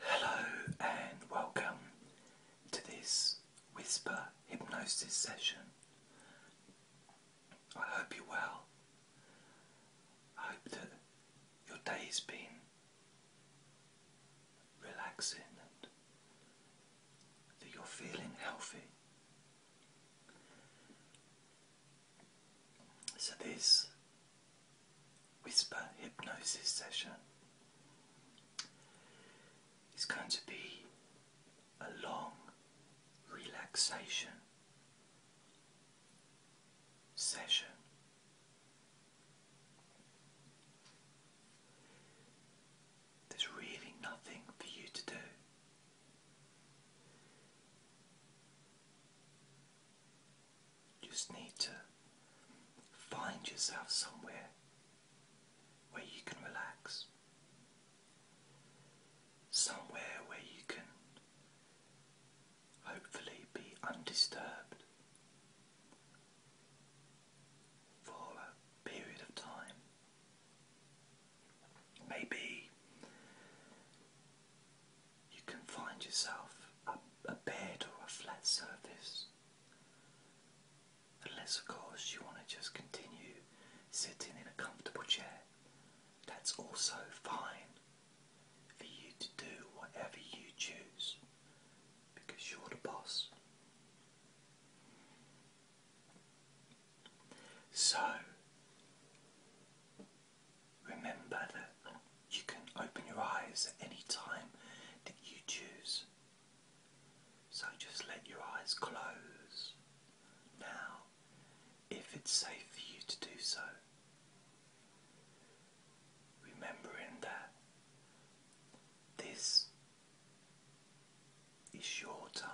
Hello and welcome to this whisper hypnosis session. I hope you're well. I hope that your day's been relaxing and that you're feeling healthy. So, this whisper hypnosis session is going to be a long relaxation session. There's really nothing for you to do just need to find yourself somewhere where you can relax, somewhere where you can hopefully be undisturbed for a period of time. Maybe you can find yourself a, bed or a flat surface. Unless, of course, you want to just continue sitting in a comfortable chair. That's also fine for you to do whatever you choose because you're the boss. So, Remember that you can open your eyes at any time that you choose. So just let your eyes close now if it's safe for you to do so. Remembering that this is your time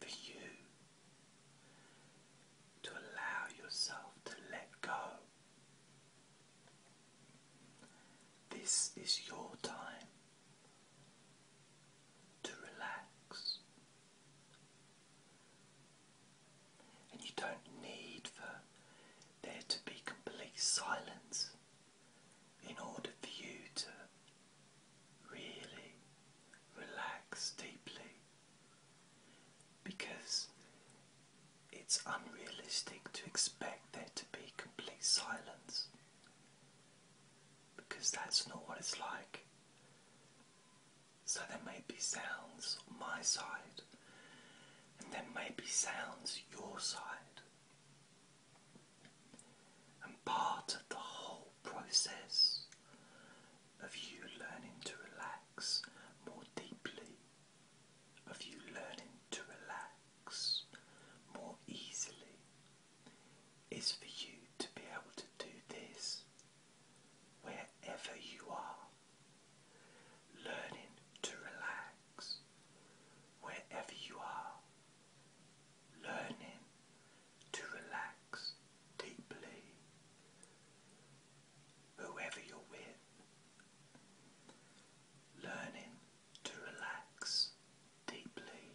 for you to allow yourself to let go. This is your time to relax, and you don't need for there to be complete silence in order for you to really relax deeply because it's unrealistic to expect there to be complete silence because that's not what it's like. So there may be sounds on my side, and there may be sounds your side. And part of the whole process of you learning to relax more deeply, of you learning to relax more easily, is for you to be able to do this wherever you are. Learning to relax wherever you are. Learning to relax deeply whoever you're with, learning to relax deeply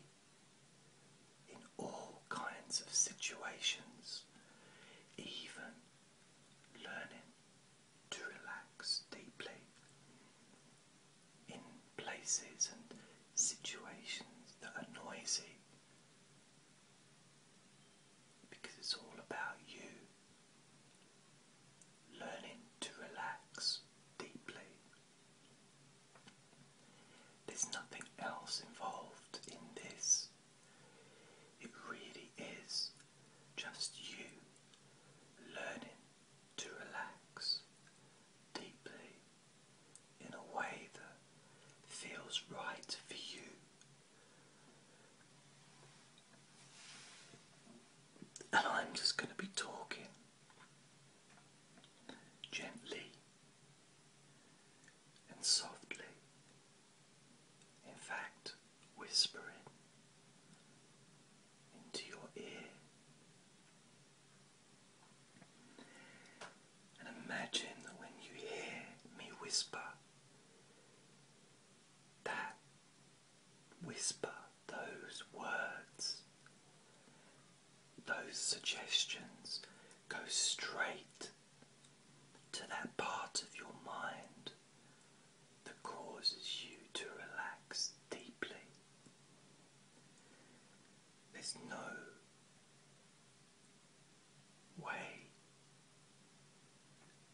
in all kinds of situations, even learning to relax deeply in places and situations that are noisy because it's all about you learning to relax deeply. There's nothing else involved in this. It really is just you learning to relax deeply in a way that feels right for you and I'm just going to be talking gently and softly, in fact, whispering into your ear. And imagine that when you hear me whisper, that whisper, those words, those suggestions go straight to that part of your mind that causes you to relax deeply. There's no way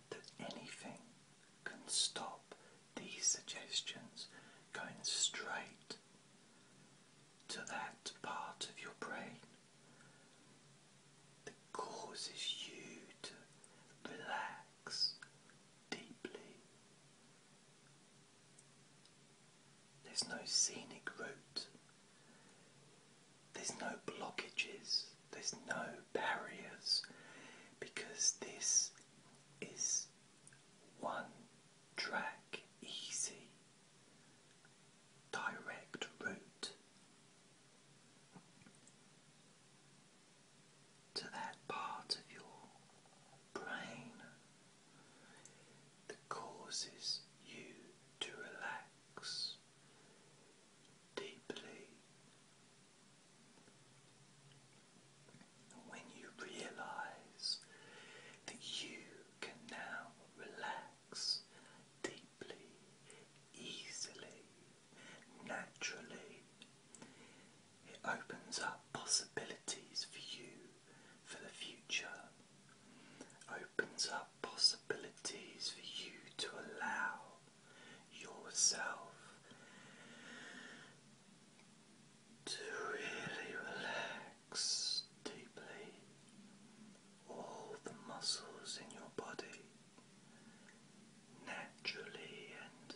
that anything can stop these suggestions going straight to that part of your brain that causes you to relax deeply. There's no scenic route there's no blockages, there's no barriers because this is one track, easy, direct route to that part of your brain that causes you to relax deeply. When you realize that you can now relax deeply, easily, naturally, it opens up possibilities for you for the future, opens up possibilities for you to allow yourself to really relax deeply all the muscles in your body naturally and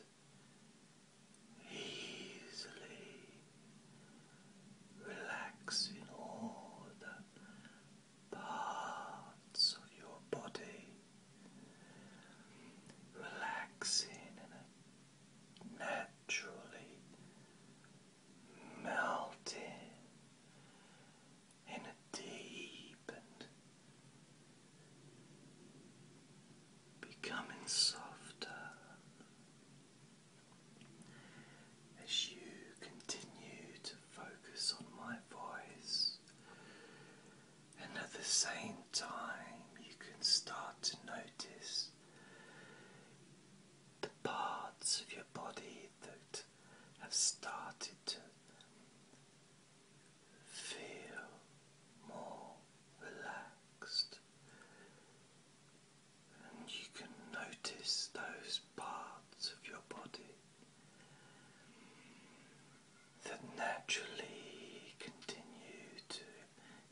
easily relaxing all the parts of your body relaxing in naturally melting in a deep and becoming softer as you continue to focus on my voice, and at the same time, you can start to notice the parts of your body that have started to feel more relaxed. And you can notice those parts of your body that naturally continue to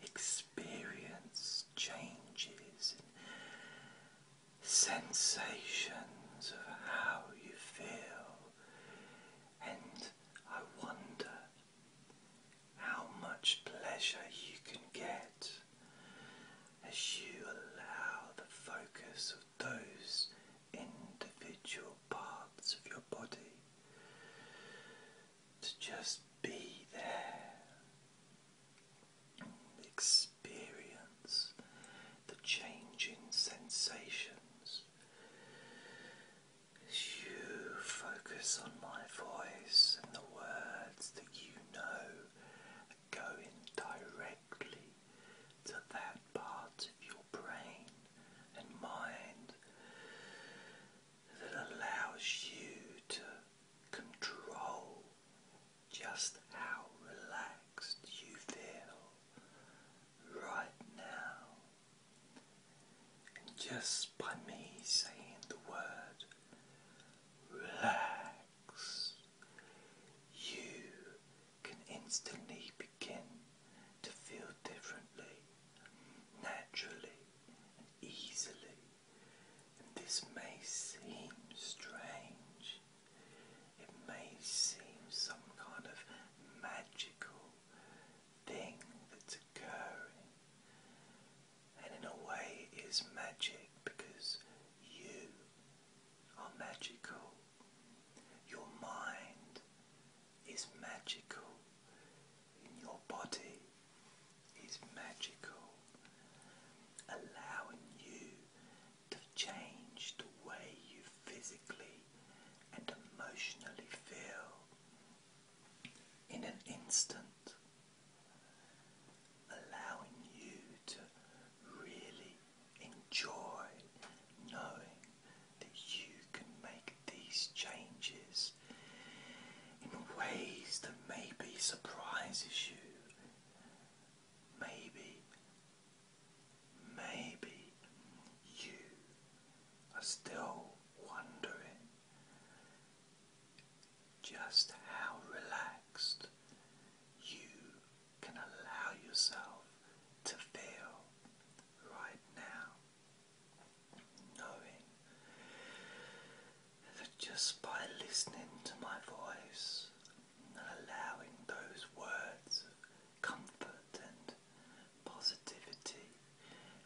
experience changes in sensations of how you feel, and I wonder how much pleasure you can get as you allow the focus of those individual parts of your body to just be there experience the changing sensations you focus on my voice and the words that you know going directly to that part of your brain and mind that allows you to control just how relaxed you feel right now. And just by me saying the word relax you can instantly begin to feel differently, naturally, and easily. And this may seem strange, it may seem some kind of magical thing that's occurring. And in a way, it is magic because you are magical. Your mind is magical, and your body is magical, allowing you to change the way you physically and emotionally feel in an instant, allowing you to really enjoy knowing that you can make these changes in ways that maybe surprises you. Maybe, maybe you are still wondering just how relaxed you can allow yourself to feel right now, knowing that just by listening to my voice and allowing those words of comfort and positivity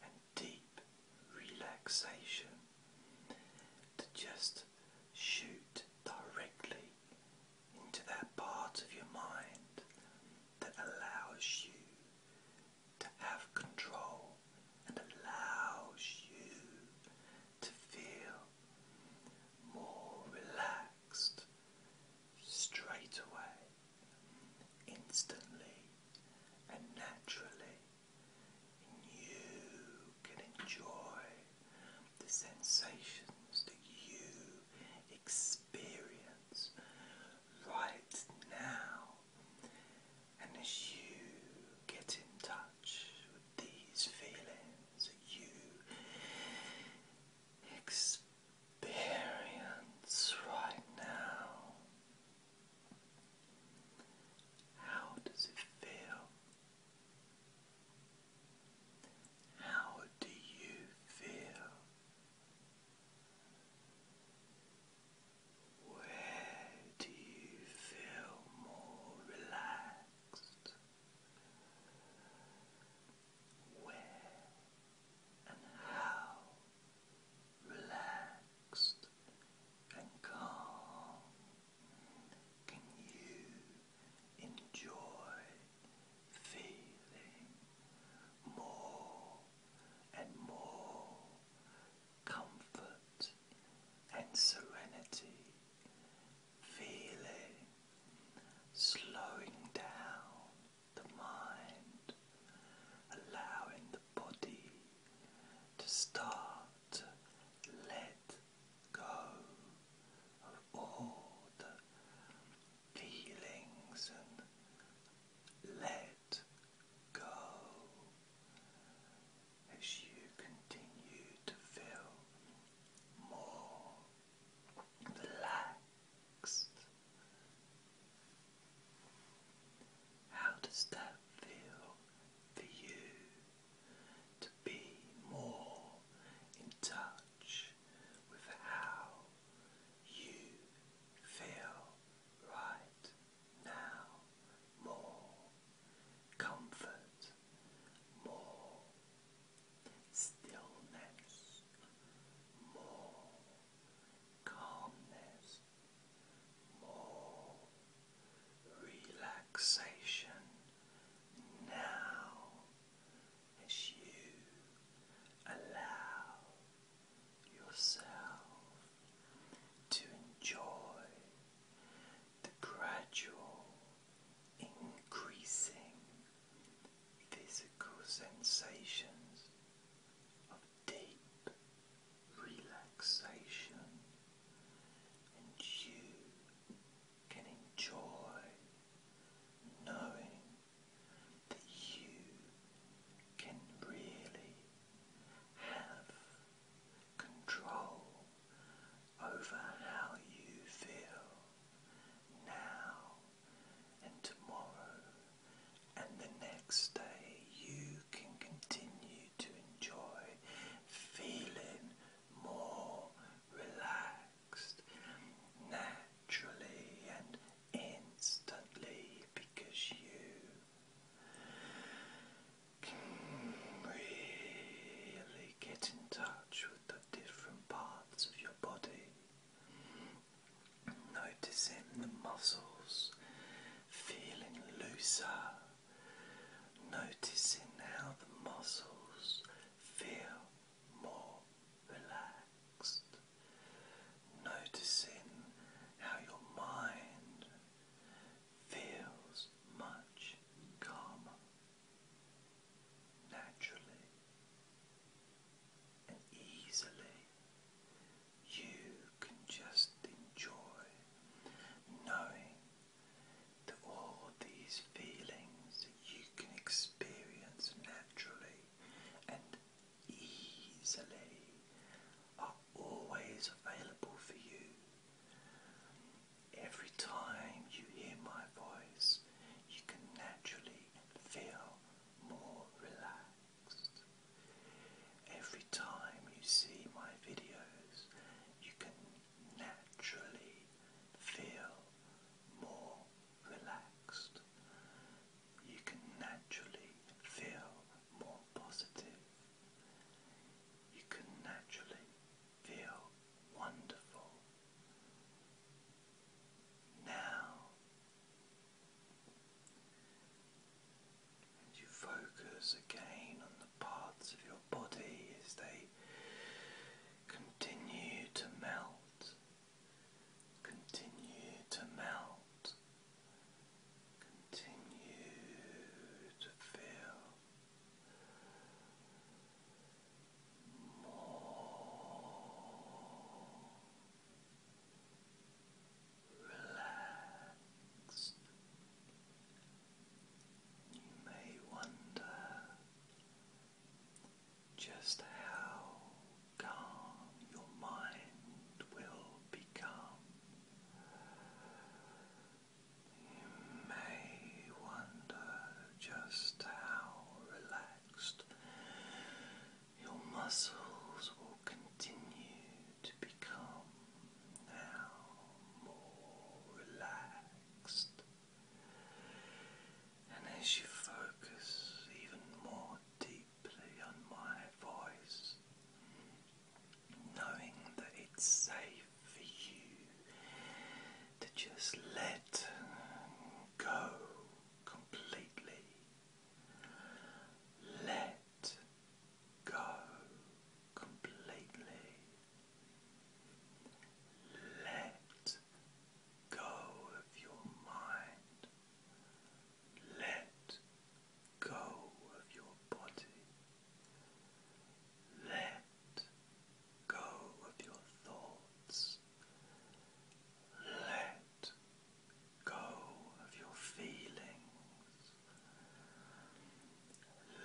and deep relaxation to just shoot directly into that part of your mind that allows you to have control and allows you to feel more relaxed straight away, instantly and naturally. And you can enjoy the sensations that you experience right now. And as you get in touch with these feelings that you experience right now, how does it feel? How do you feel? Where do you feel more relaxed? Where and how relaxed and calm can you enjoy feeling more and more comfort and serenity, feeling slowing down the mind, allowing the body to start let go of all the feelings and let go as you continue to feel more relaxed. How does that feel for you? to be more in touch with how you feel right now. More comfort, more stillness, more calmness, more relaxation now as you allow yourself to enjoy the gradual increasing physical sensations of deep relaxation and you can enjoy knowing that you can really have control over how you feel now and tomorrow and the next day you can continue to enjoy feeling more relaxed naturally and instantly because you can really get in touch with the different parts of your body. Noticing the muscles feeling looser, noticing how the muscles feel more relaxed, noticing how your mind feels much calmer naturally and easily. You can just enjoy knowing to all these feelings that you can experience naturally and easily are always available for you. Every time you hear my voice, you can naturally feel more relaxed. Every time you see my videos, you can naturally feel more relaxed. You can naturally feel more positive. You can naturally feel wonderful. Now, and you focus again on the parts of your body as they Continue to melt, continue to melt, continue to feel more relaxed. You may wonder just how calm your mind will become. You may wonder just how relaxed your muscles will continue to become now more relaxed. And as you focus even more deeply on my voice, knowing that it's safe for you to just let go completely, let go completely let go of your mind. Let go of your body. Let go of your thoughts. Let go of your feelings.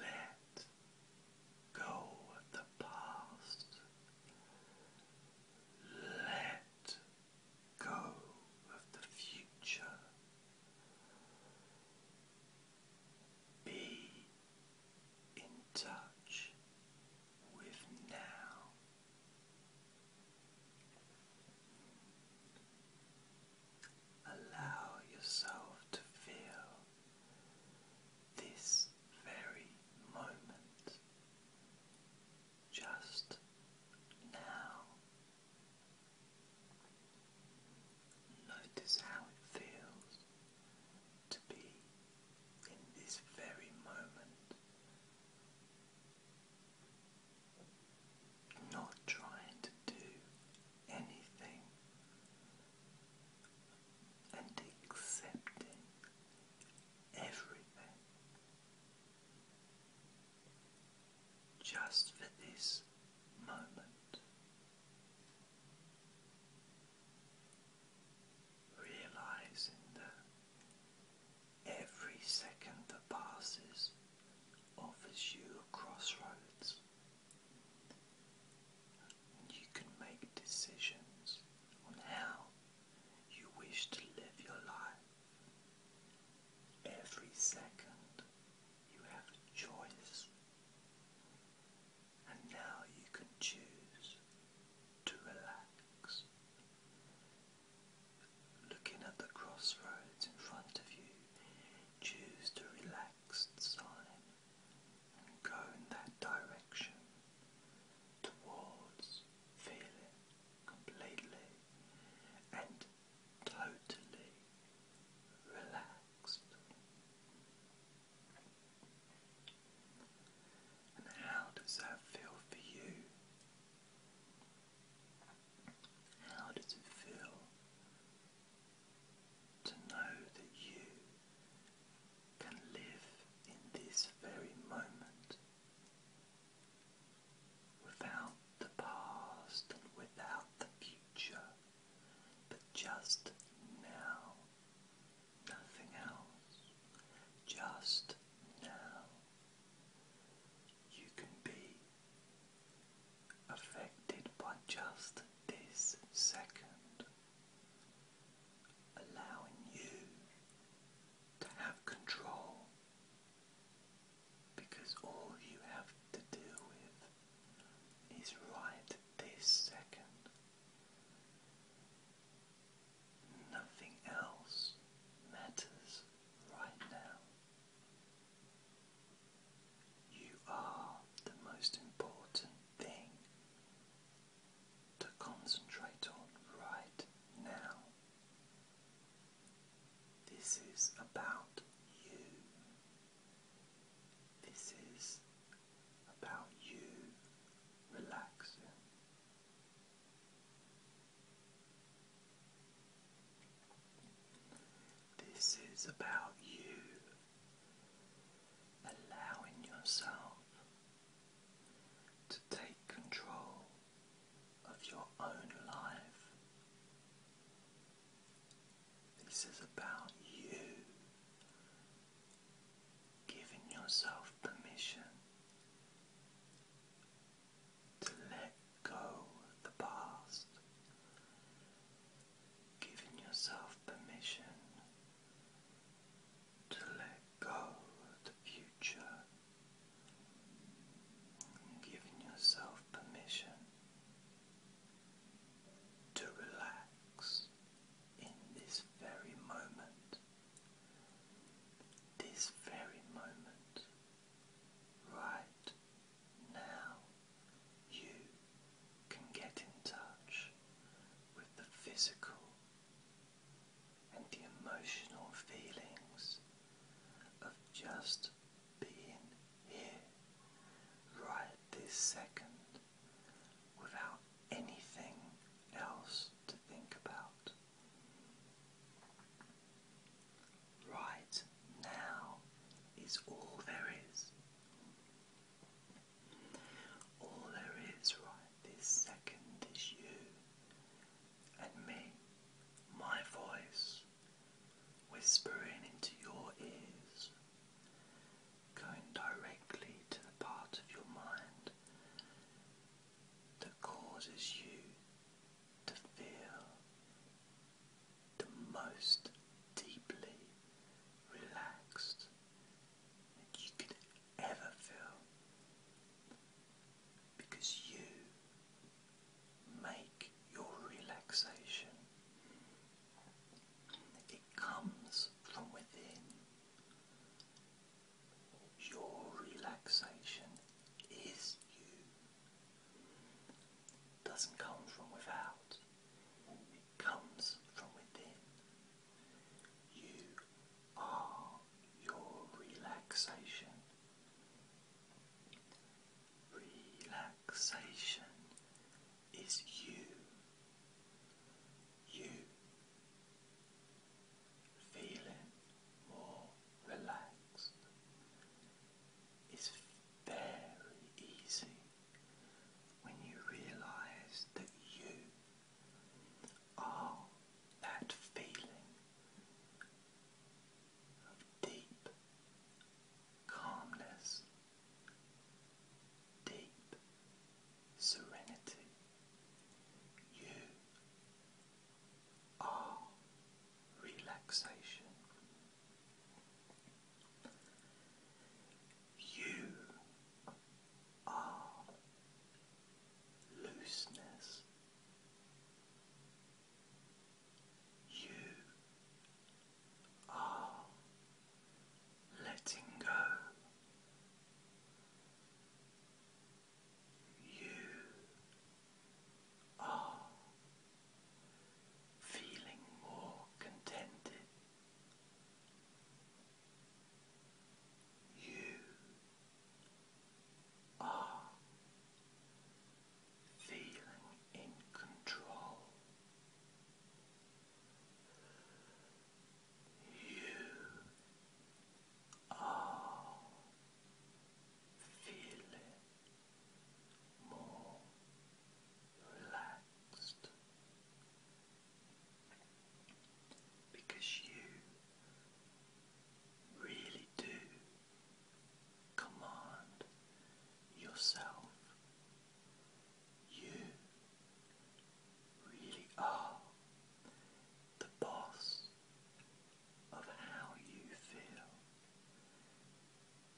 Let go of the past. Let go of the future. Be in touch with now. Allow yourself to feel this very moment, just now. Notice how it feels to be in this very moment. Not trying to do anything and accepting everything just for this moment. Realizing that every second that passes offers you a crossroads you can make decisions on how you wish to live your life. Every second you have a choice, and now you can choose to relax. Looking at the crossroads in front of you, choose the relaxed sign Go in that direction towards feeling completely and totally relaxed. And how does that feel for you? How does it feel to know that you can live in this very moment without the past and without the future, but just now, nothing else, just now. You can be affected by just this second allowing you to have control because all you have to deal with is right this second. Nothing else matters right now. You are the most important thing to concentrate on right now. This is about you. This is about you relaxing. This is about you allowing yourself to take control of your own life. This is about you giving yourself permission to let go of the past, giving yourself permission to let go of the future, giving yourself permission to relax in this very moment, this very moment, right now, you can get in touch with the physical and the emotional feelings of just being here right this second without anything else to think about. Right now is all there is. All there is right this second is you and me, my voice, whispering into your ears, going directly to the part of your mind that causes you to feel the most deeply relaxed you could ever feel because you make your relaxation. It comes from within. Your relaxation is you. doesn't come from without. It comes from within. You are your relaxation. Relaxation is you. You feeling more relaxed is very easy when you realize that you are that feeling of deep calmness, deep serenity. You are relaxation. You are looseness. You are letting go. You are feeling more contented. You are feeling in control. You are feeling more relaxed because you really do command yourself. You really are the boss of how you feel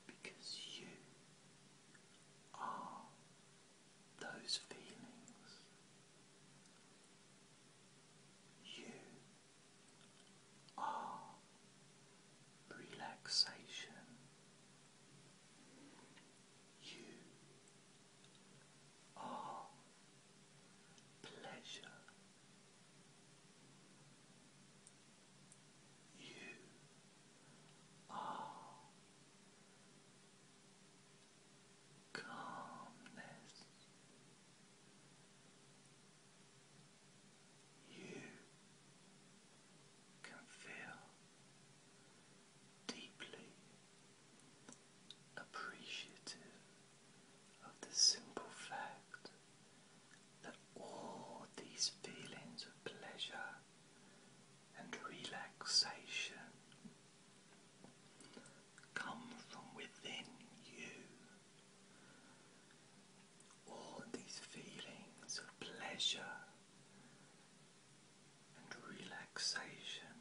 because you are those feelings. You are relaxation. You are pleasure. You are calmness. You can feel deeply appreciative of the simple fact that all these feelings of pleasure and relaxation come from within you. All these feelings of pleasure and relaxation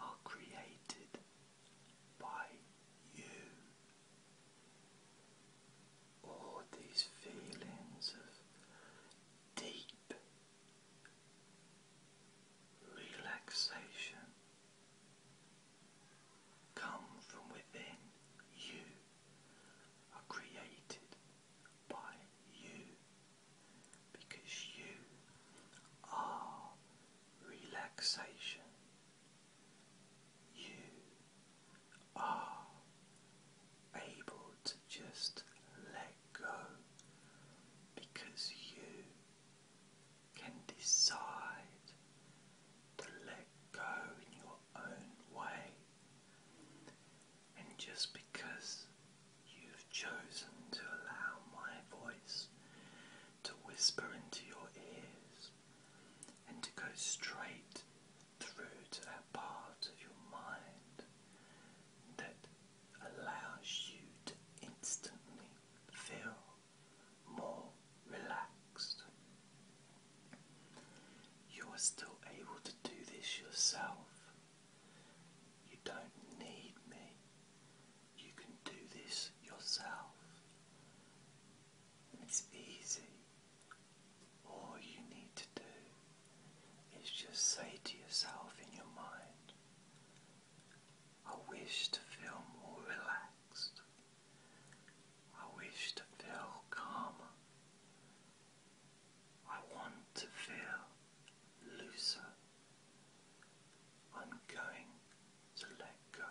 are created by you. All these feelings of deep relaxation come from within you, are created by you because you are relaxation. You are able to just let go because you can decide to let go in your own way. And just because you've chosen to allow my voice to whisper into your ears and to go straight through to that part of your mind that allows you to instantly feel more relaxed. You are still able to do this yourself. You don't need me. You can do this yourself. It's easy all you need to do is just say to yourself in your mind, I wish to feel more relaxed. I wish to feel calmer. I want to feel looser. I'm going to let go.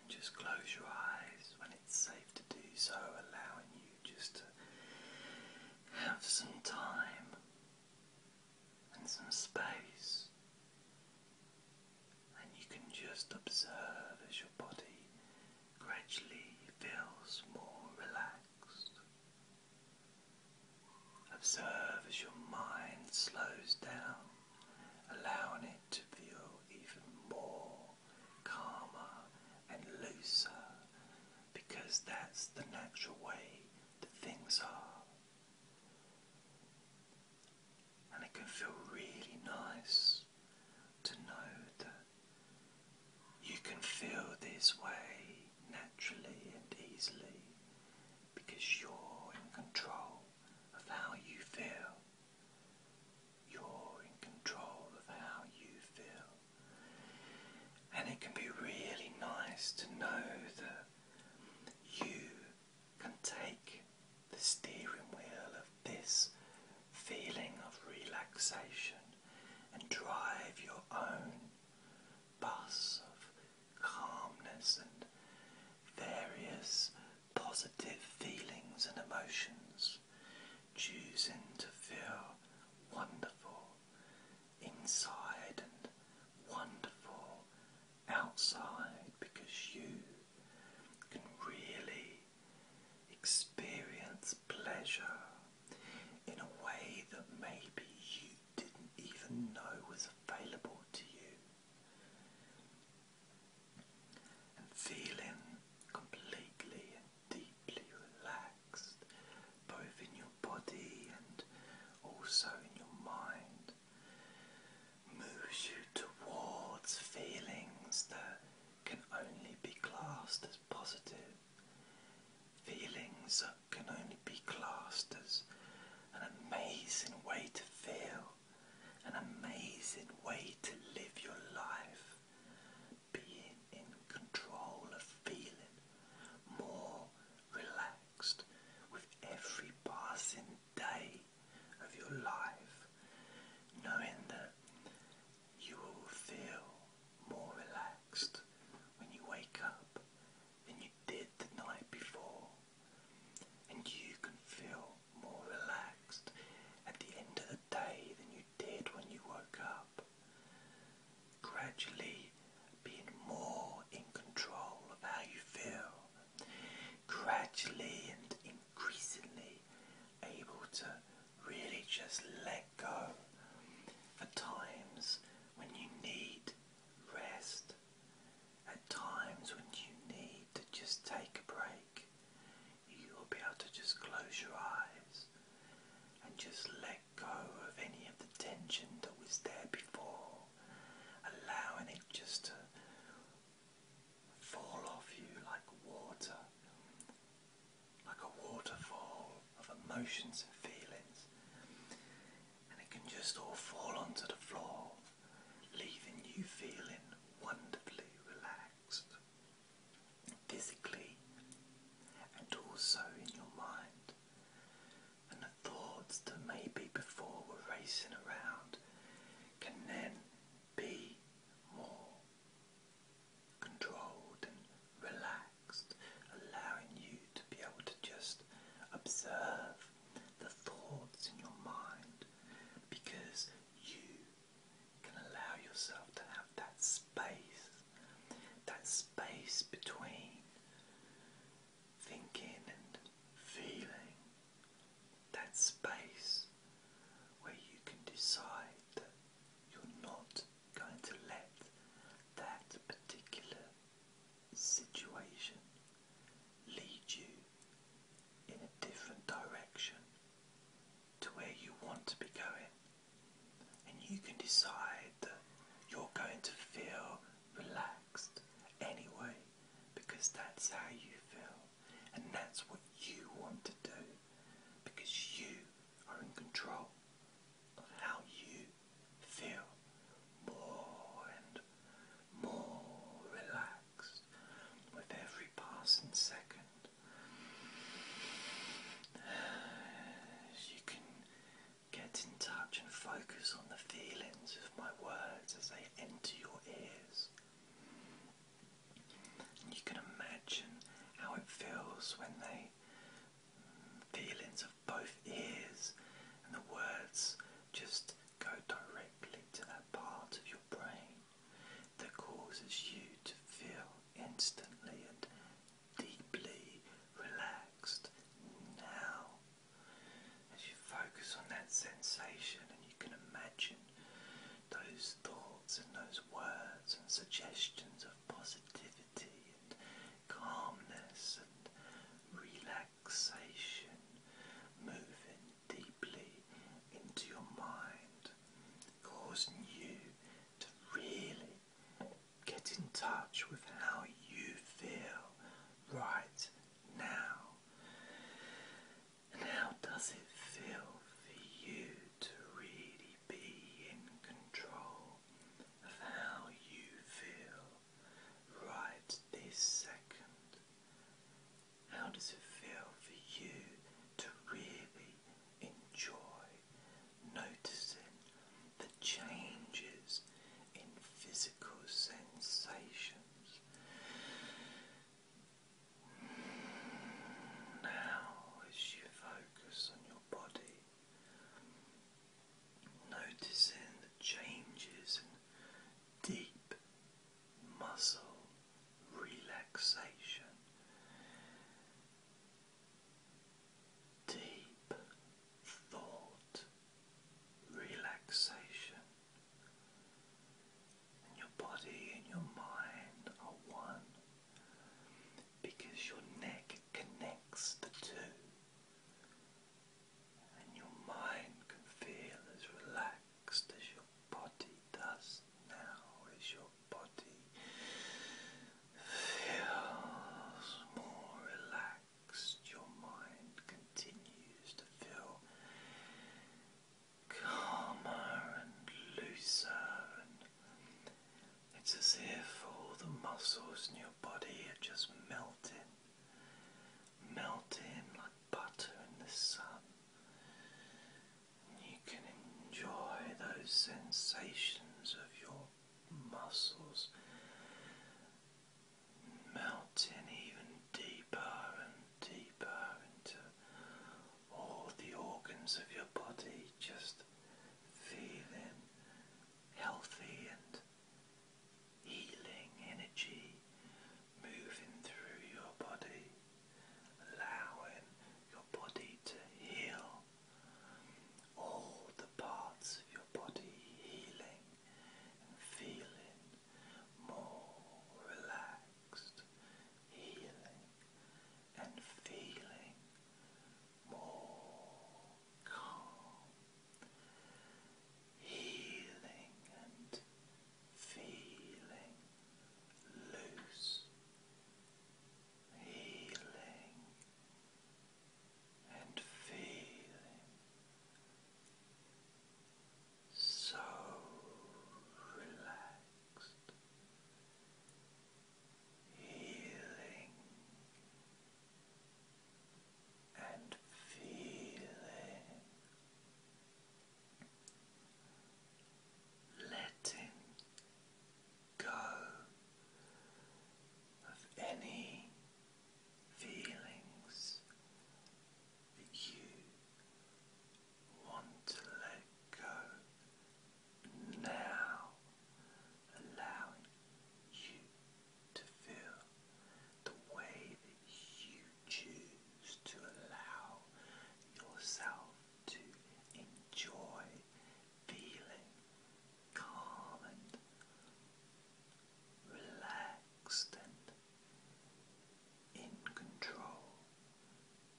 And just close your eyes it's safe to do so, allowing you just to have some time and some space, and you can just observe as your body gradually feels more relaxed. Observe as your mind slows down, allowing it to feel even more calmer and looser because that's the natural way that things are. And it can feel really nice to know that you can feel this way naturally and easily because you're in control of how you feel. You're in control of how you feel. And it can be really nice to know that you can take the steering wheel of this feeling of relaxation and drive your own bus of calmness and various positive feelings and emotions choosing to feel wonderful inside and wonderful outside because you can really experience pleasure in a way that maybe you didn't even know was available to you. And feeling completely deeply relaxed, both in your body and also in your mind, moves you towards feelings that can only be classed as positive, feelings that can only be classed as an amazing way to feel, an amazing way to live your life, being in control of feeling more relaxed with every passing day of your life, knowing that you will feel more relaxed when you wake up than you did the night before, and you can feel more relaxed at the end of the day than you did when you woke up. Gradually being more in control of how you feel. Gradually and increasingly able to really just let go at times when you need rest, at times when you need to just take a break you will be able to just close your eyes and just let go of any of the tension that was there before, allowing it just to fall off you like water, like a waterfall of emotions and feelings. And it can just all fall onto the floor, leaving you feeling wonderfully relaxed physically and also in your mind. And the thoughts that maybe before were racing around can then be more controlled and relaxed, allowing you to be able to just observe the thoughts in your mind because you can allow yourself to have that space, that space between thinking and feeling, that space where you can decide that you're not going to let that particular situation lead you in a different direction to where you want to be going, and you can decide that you're going to feel relaxed anyway because that's how you feel, and that's what you want to do because you are in control of how you feel more and more relaxed with every passing second. You can get in touch and focus on the feelings of my words as they enter your ears. And you can imagine how it feels when they mm, feelings of both ears and the words just go directly to that part of your brain that causes you to feel instantly and deeply relaxed now. As you focus on that sensation, and you can imagine those thoughts and those words and suggestions of positivity and calmness and relaxation moving deeply into your mind causing you to really get in touch with how you feel right now. And how does it feel for you to really be in control of how you feel right this second? How does it feel for you to really enjoy noticing the changes in physical sensations. Now, as you focus on your body, noticing the changes in deep muscle relaxation, deep thought, relaxation, and your body and your mind are one because your neck connects the two. And your mind can feel as relaxed as your body does now is your body feels more relaxed, your mind continues to feel calmer and looser, it's as if all the muscles in your body are just melted, melted like butter in the sun. You can enjoy those sensations of your muscles melting even deeper and deeper into all the organs of your body, just feeling healthy and healing energy moving through your body allowing your body to heal. All the parts of your body healing feeling more relaxed, healing and feeling more calm, healing and feeling loose healing and feeling so relaxed, healing and feeling letting go of any feelings that you want to let go now, allowing you to feel the way that you choose to allow yourself to enjoy feeling calm and relaxed and in control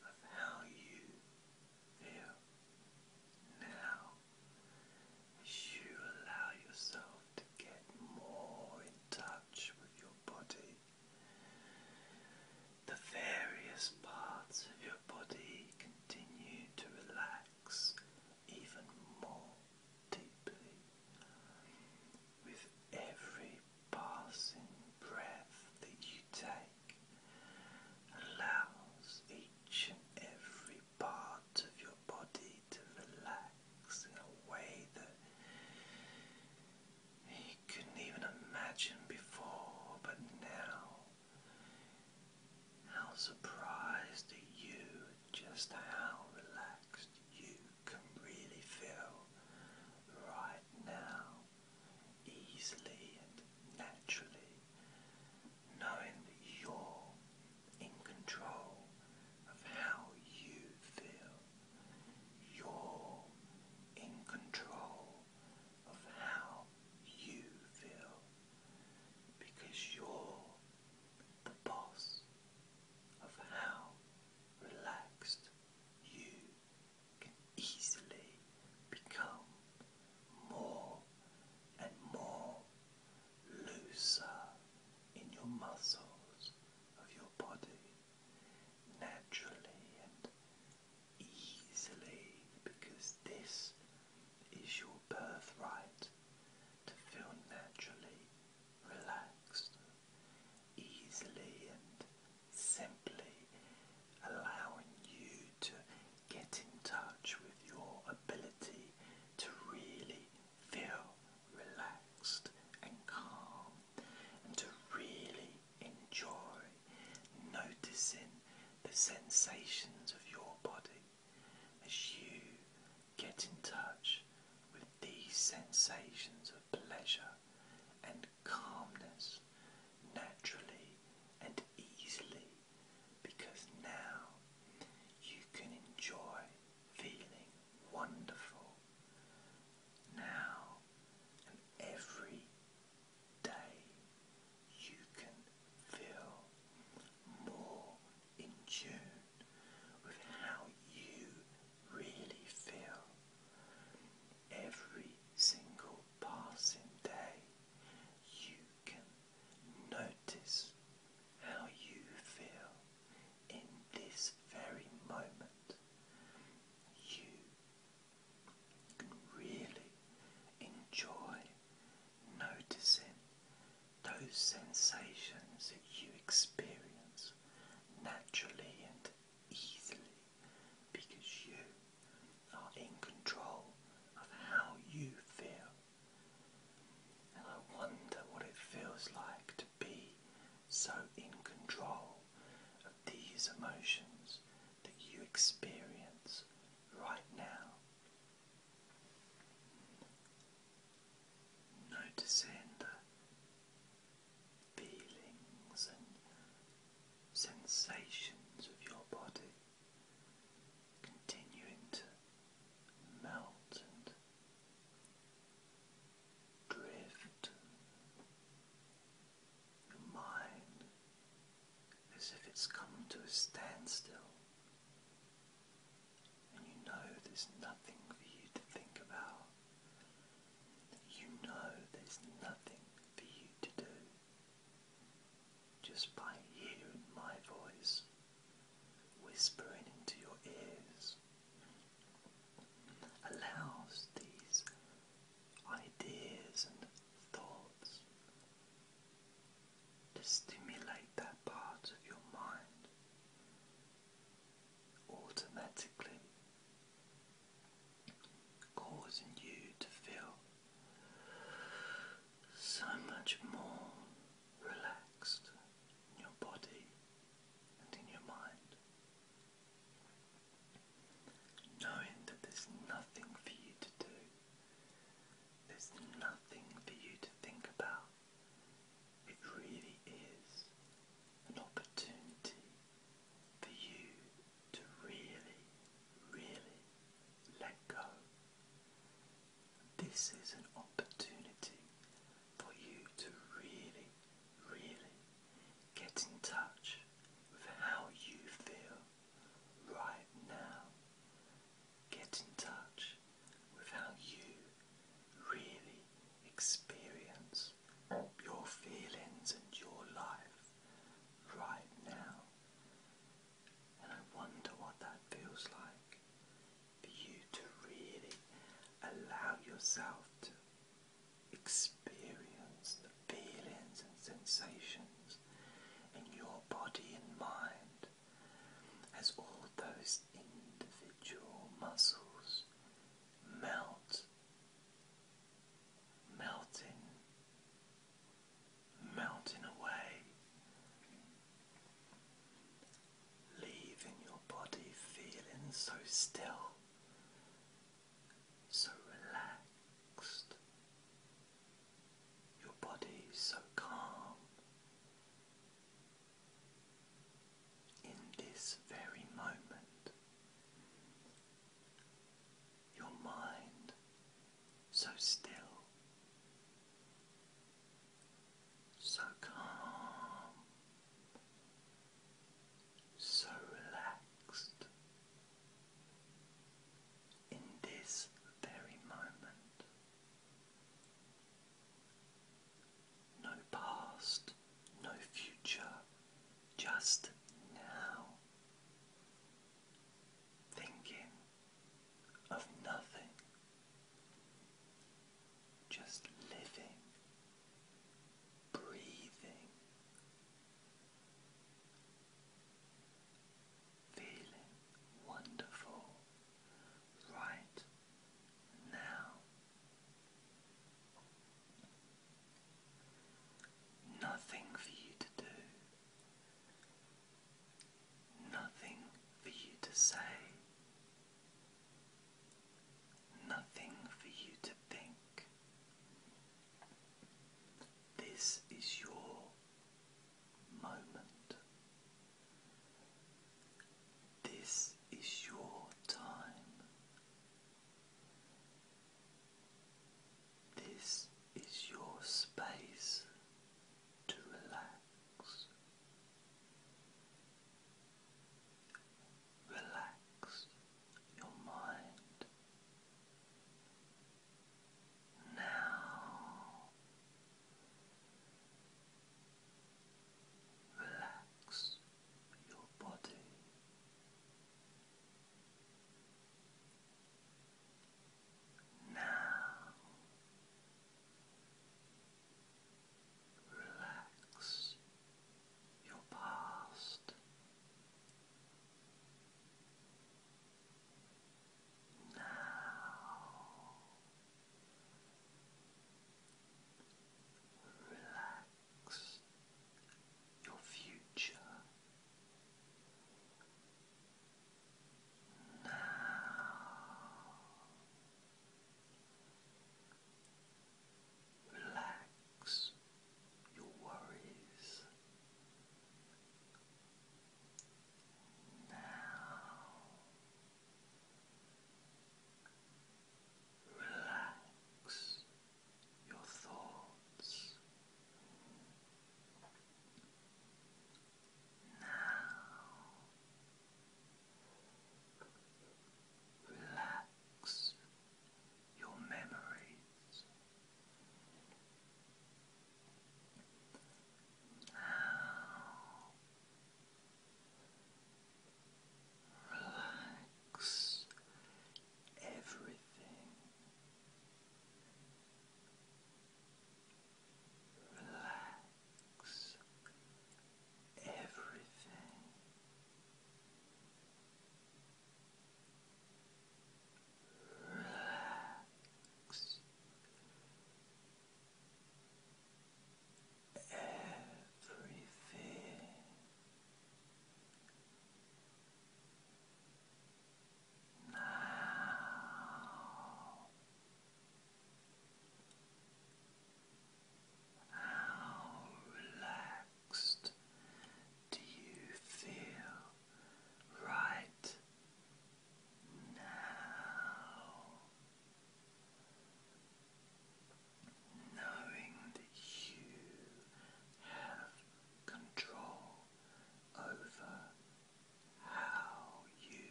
of how you feel now as you allow yourself to get more in touch with your body the various parts of your body continue to relax even more deeply with every passing breath that you take allows each and every part of your body to relax in a way that you couldn't even imagine before, but now, how surprised are you just how relaxed you can really feel right now, easily and naturally, knowing that you're in control of how you feel. You're in control of how you feel because you're the boss of how relaxed you can easily become more and more looser in your muscles of your body naturally and easily because this is your birthright to feel naturally relaxed, easily and simply allowing you to get in touch with your ability to really feel relaxed and calm and to really enjoy noticing the sensations of your body as you get in touch with these sensations of pleasure and calmness naturally and easily because now you can enjoy feeling wonderful now and every day you can feel more in tune with how you really feel. Every single passing day you can notice how you feel in this very moment. You can really enjoy noticing those sensations that you experience naturally and easily because you are in control of how you feel. And I wonder what it feels like to be so in control of these emotions that you experience right now. Noticing the feelings and sensations of your body continuing to melt and drift your mind as if it's come to a standstill and you know there's nothing for you to think about. You know there's nothing for you to do. Just by hearing my voice whispering into your ears allows these ideas and thoughts to stimulate that part of your mind automatically, causing you to feel so much more relaxed in your body and in your mind knowing that there's nothing for you to do, there's nothing for you to think about. It really is an opportunity for you to really, really let go. This is an opportunity for you to really, really Get in touch with how you feel right now. Get in touch with how you really experience your feelings and your life right now. And I wonder what that feels like for you to really allow yourself to experience the feelings and sensations in your body and mind as all those individual muscles melt, melting, melting away. Leaving your body feeling so still so relaxed, your body so calm. In this very moment, your mind so still, so calm, so relaxed in this very moment. No past, no future, just now. Thinking of nothing, just living, breathing feeling wonderful right now. Nothing for you to do, nothing for you to say, nothing for you to think. This is your moment. This is your time. This is your space to relax. Relax your mind. Now relax your body. Now relax your past. Now relax your future. Now relax your worries. Now relax your thoughts. Now relax your memories. relax everything. Relax everything. Relax. Everything. Now, how relaxed relaxed? Do you feel right now? Knowing that you have control over how you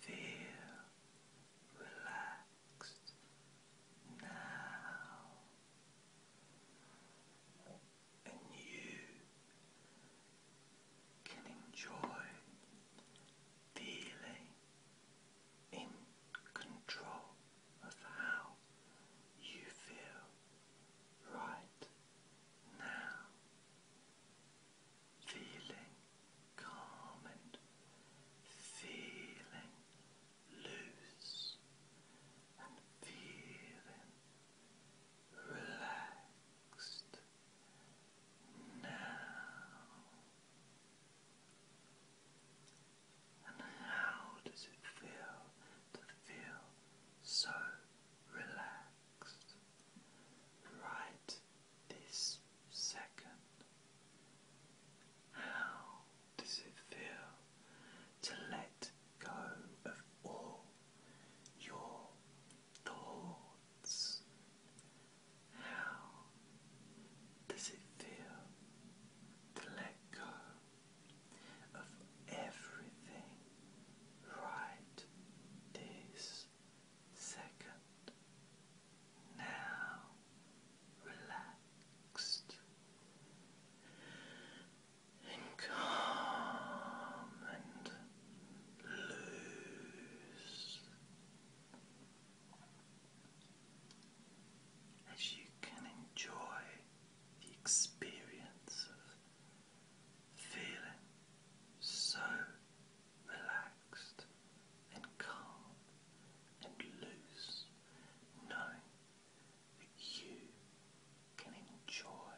feel relaxed now and you can enjoy feeling in control of how you feel right now, feeling calm and feeling loose and feeling relaxed now. And how does it feel to feel so relaxed right this second? How does it feel to let go of all your thoughts? How does it feel to let go of everything right this second? Now relaxed and calm and loose as you can enjoy the experience of feeling so relaxed and calm and loose, knowing you can enjoy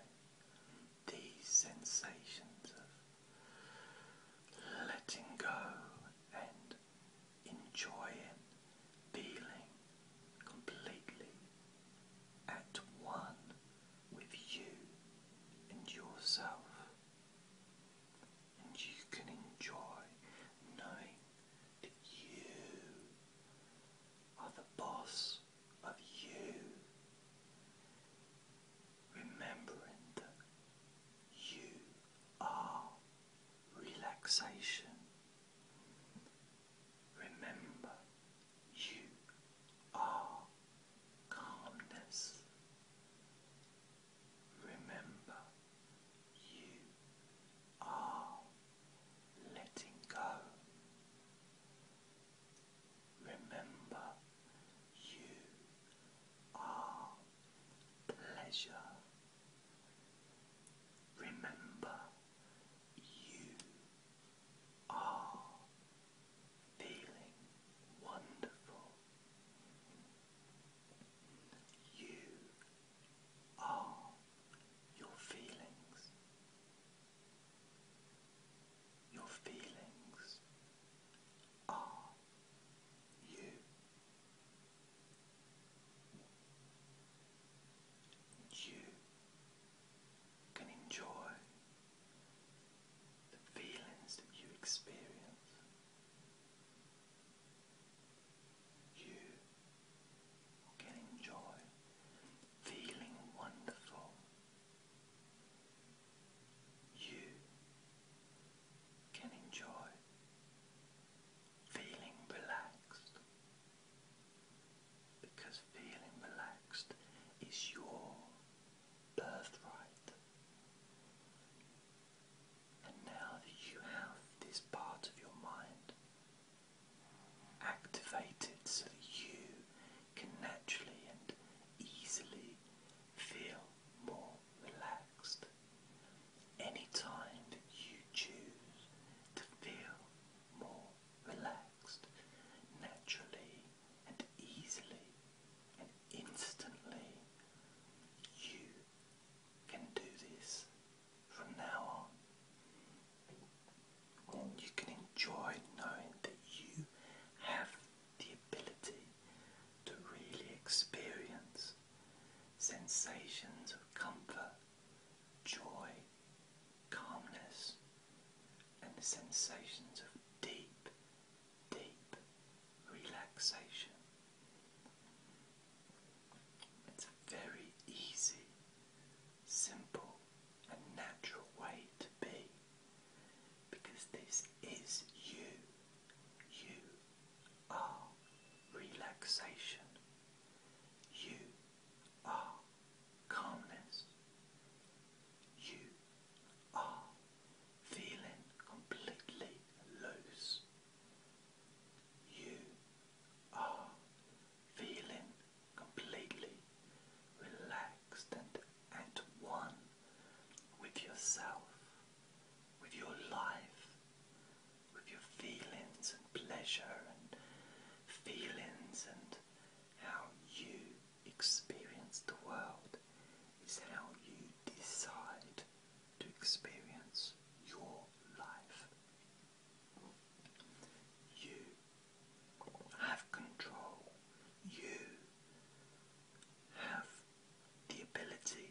these sensations of letting go and enjoying feeling completely at one with you and yourself. And you can enjoy knowing you are the boss of you, remembering that you are relaxation. Remember, you are calmness. Remember, you are letting go. Remember, you are pleasure. Remember, you are feeling wonderful. You are your feelings. Your feelings are you. you can enjoy the feelings that you experience. You getting joy, feeling wonderful. You can enjoy feeling relaxed because feeling relaxed is your birthright. And now that you have this part of your mind activated so that you can naturally and easily feel more relaxed. Anytime that you choose to feel more relaxed, naturally and easily and instantly, you can do this from now on. And you can enjoy knowing that you have the ability to really experience sensations of comfort, joy, calmness, and the sensations of deep, deep relaxation. It's a very easy, simple, and natural way to be because this is you. You are relaxation. You are calmness. You are feeling completely loose. You are feeling completely relaxed and at one with yourself, with your life, with your feelings and pleasure and feelings and how you experience the world is how you decide to experience your life. You have control. You have the ability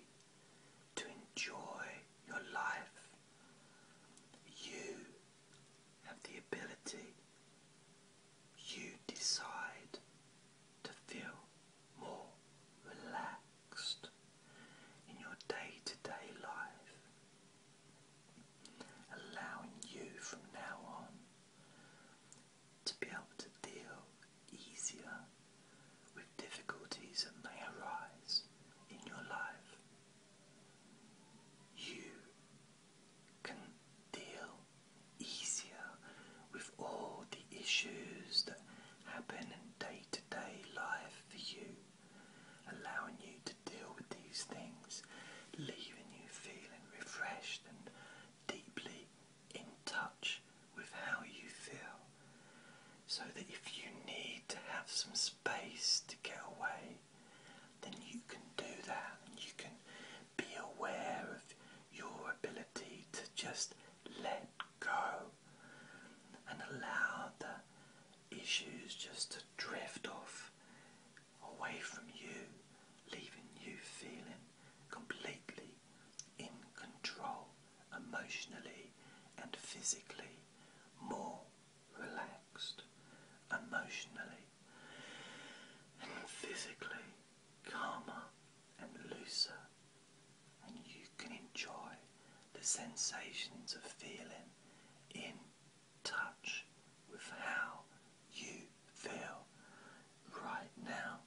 to enjoy your life. You have the ability. You decide to feel more relaxed in your day to day life allowing you from now on to be able to deal easier with difficulties that may arise in your life. You can deal easier with all the issues that happen in day to day life for you allowing you to deal with these things, leaving you feeling refreshed and deeply in touch with how you feel. So that if you need to have some space to get away, then you can do that and you can be aware of your ability to just let go and allow the issues just to drift off away from you, leaving you feeling completely in control emotionally and physically, more relaxed emotionally and physically, calmer and looser, and you can enjoy the sensations of feeling in touch with how you feel right now.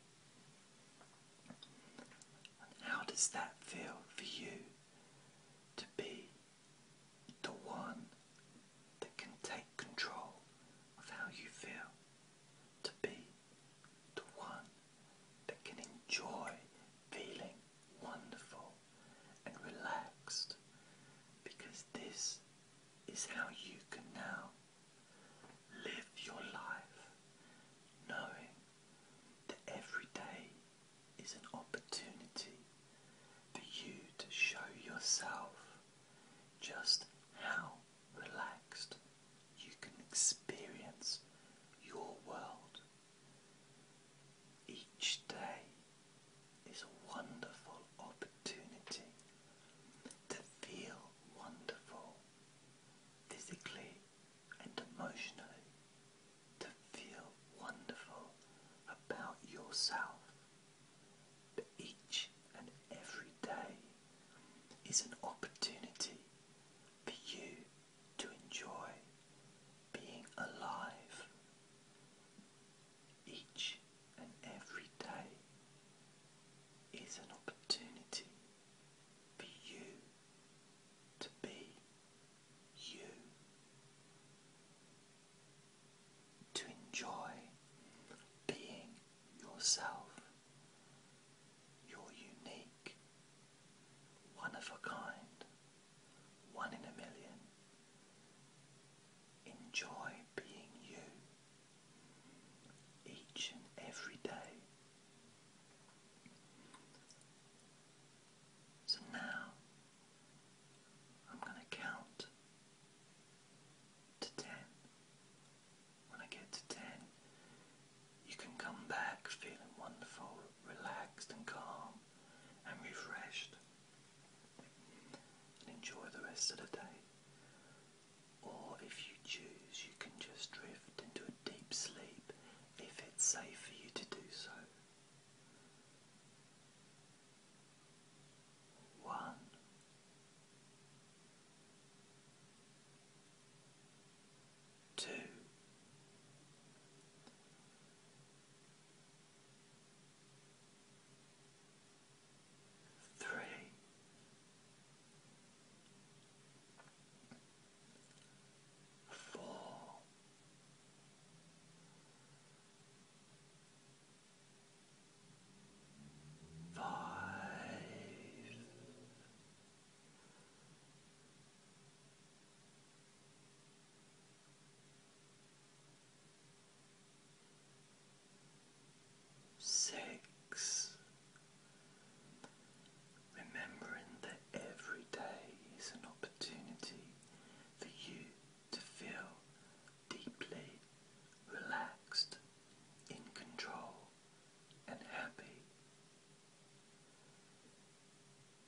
how does that feel for you to be the one that can take control of how you feel? To be the one that can enjoy feeling wonderful and relaxed because this is how you can now live your life knowing that every day is an opportunity for you to show yourself just how relaxed you can experience your world each day is a wonderful opportunity to feel wonderful physically and emotionally, to feel wonderful about yourself. But each and every day is an opportunity for you to enjoy being alive each and every day is an opportunity for you to be you, to enjoy being yourself, your unique, one of a kind, one in a million. Enjoy being you each and every day. So now I'm going to count to 10. When I get to 10, you can come back feeling wonderful, relaxed, and calm and refreshed. And enjoy the rest of the day. Or if you choose, you can just drift into a deep sleep if it's safe for you to do so. One. Two, three, four, five, Six, remembering that every day is an opportunity for you to feel deeply relaxed, in control, and happy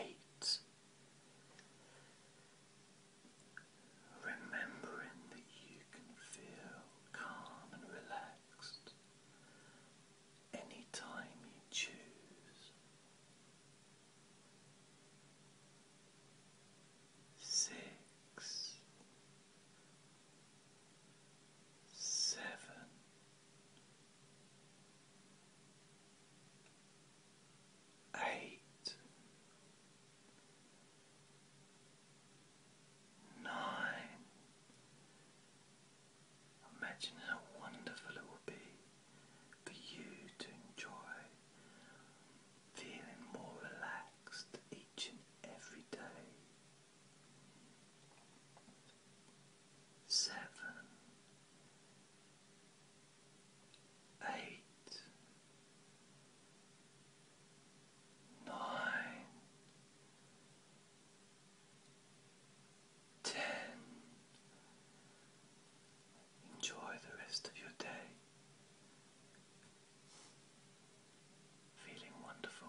Eight. Remembering that you can feel calm and relaxed anytime you choose. Six, seven. Eight, nine. Imagine how wonderful it will be for you to enjoy feeling more relaxed each and every day seven, eight, nine, ten. Enjoy the rest of your day. Feeling wonderful